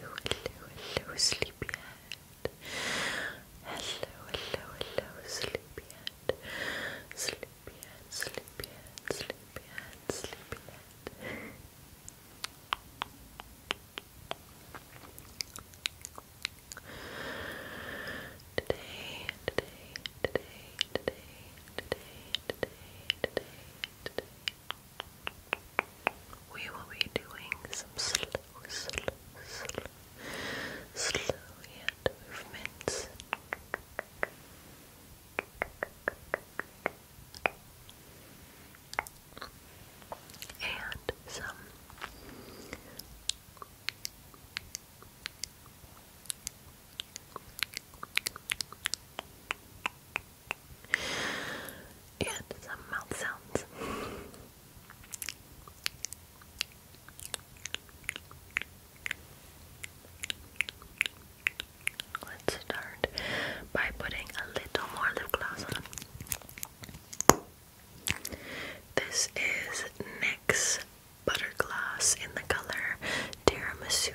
Hello, hello, hello, sleepyhead. Hello, hello, hello, sleepyhead. Sleepyhead, sleepyhead, sleepyhead, sleepyhead, sleepyhead. Today, today, today, today, today, today, today, today. We will be doing some slow, slow, slow, slow movements and some and some mouth sounds. Let's start by putting a little more lip gloss on. This is NYX Butter Gloss in the color Tiramisu.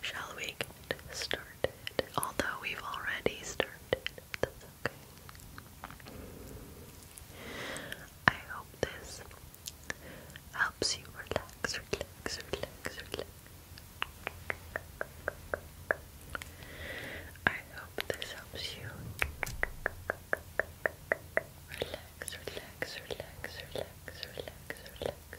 Shall we get started? Although we've already started, that's okay. I hope this helps you relax, relax, relax, relax. I hope this helps you relax, relax, relax, relax, relax, relax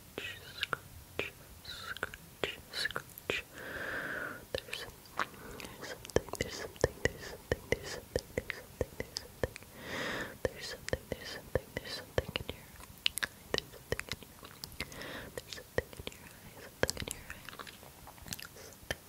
scratch, scratch, scratch. There's something, there's something, there's something, there's something, there's something, there's something, there's something, there's something, there's something there's something in your there's something in your eye, something in your eye, something right there. Something,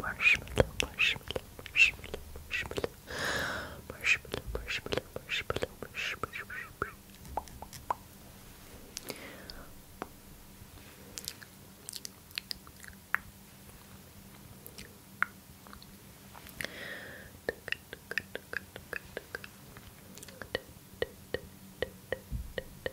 marshmallow, marshmallow, marshmallow, marshmallow, marshmallow, marshmallow, marshmallow, marshmallow. Good, good, good, good, good, good.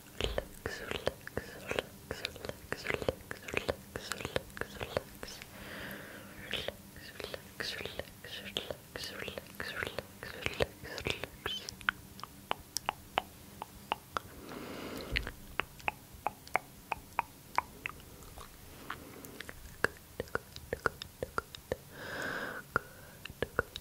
relax, relax, relax, relax, relax, relax, relax. Relax, relax, relax, relax, relax, relax, relax, relax. Good, good, good, good, good, good,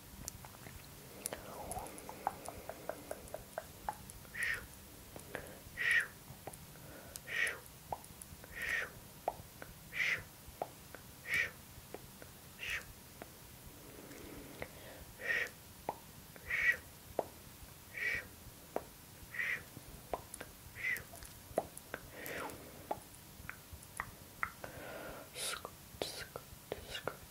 Skirt, skirt, skirt,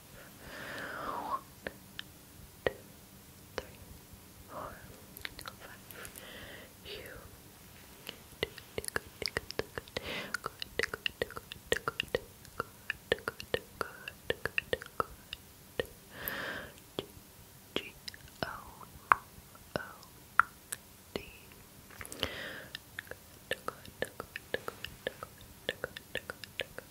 one, two, three, four, five. You good, good, good, good, good, good, good, good, good, good, good. G O O D. Good, good, good, good, good, good, good,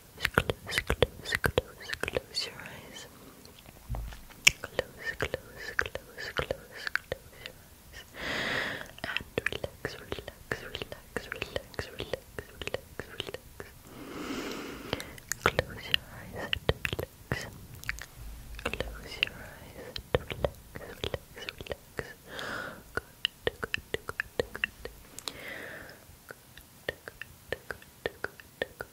close, close, close, close your eyes. Close, close, close, close, close your eyes. And relax, relax, relax, relax, relax, relax, relax. Close your eyes and relax. Close your eyes and relax, relax, relax. Good, good, good, good. Good, good, good, good, good.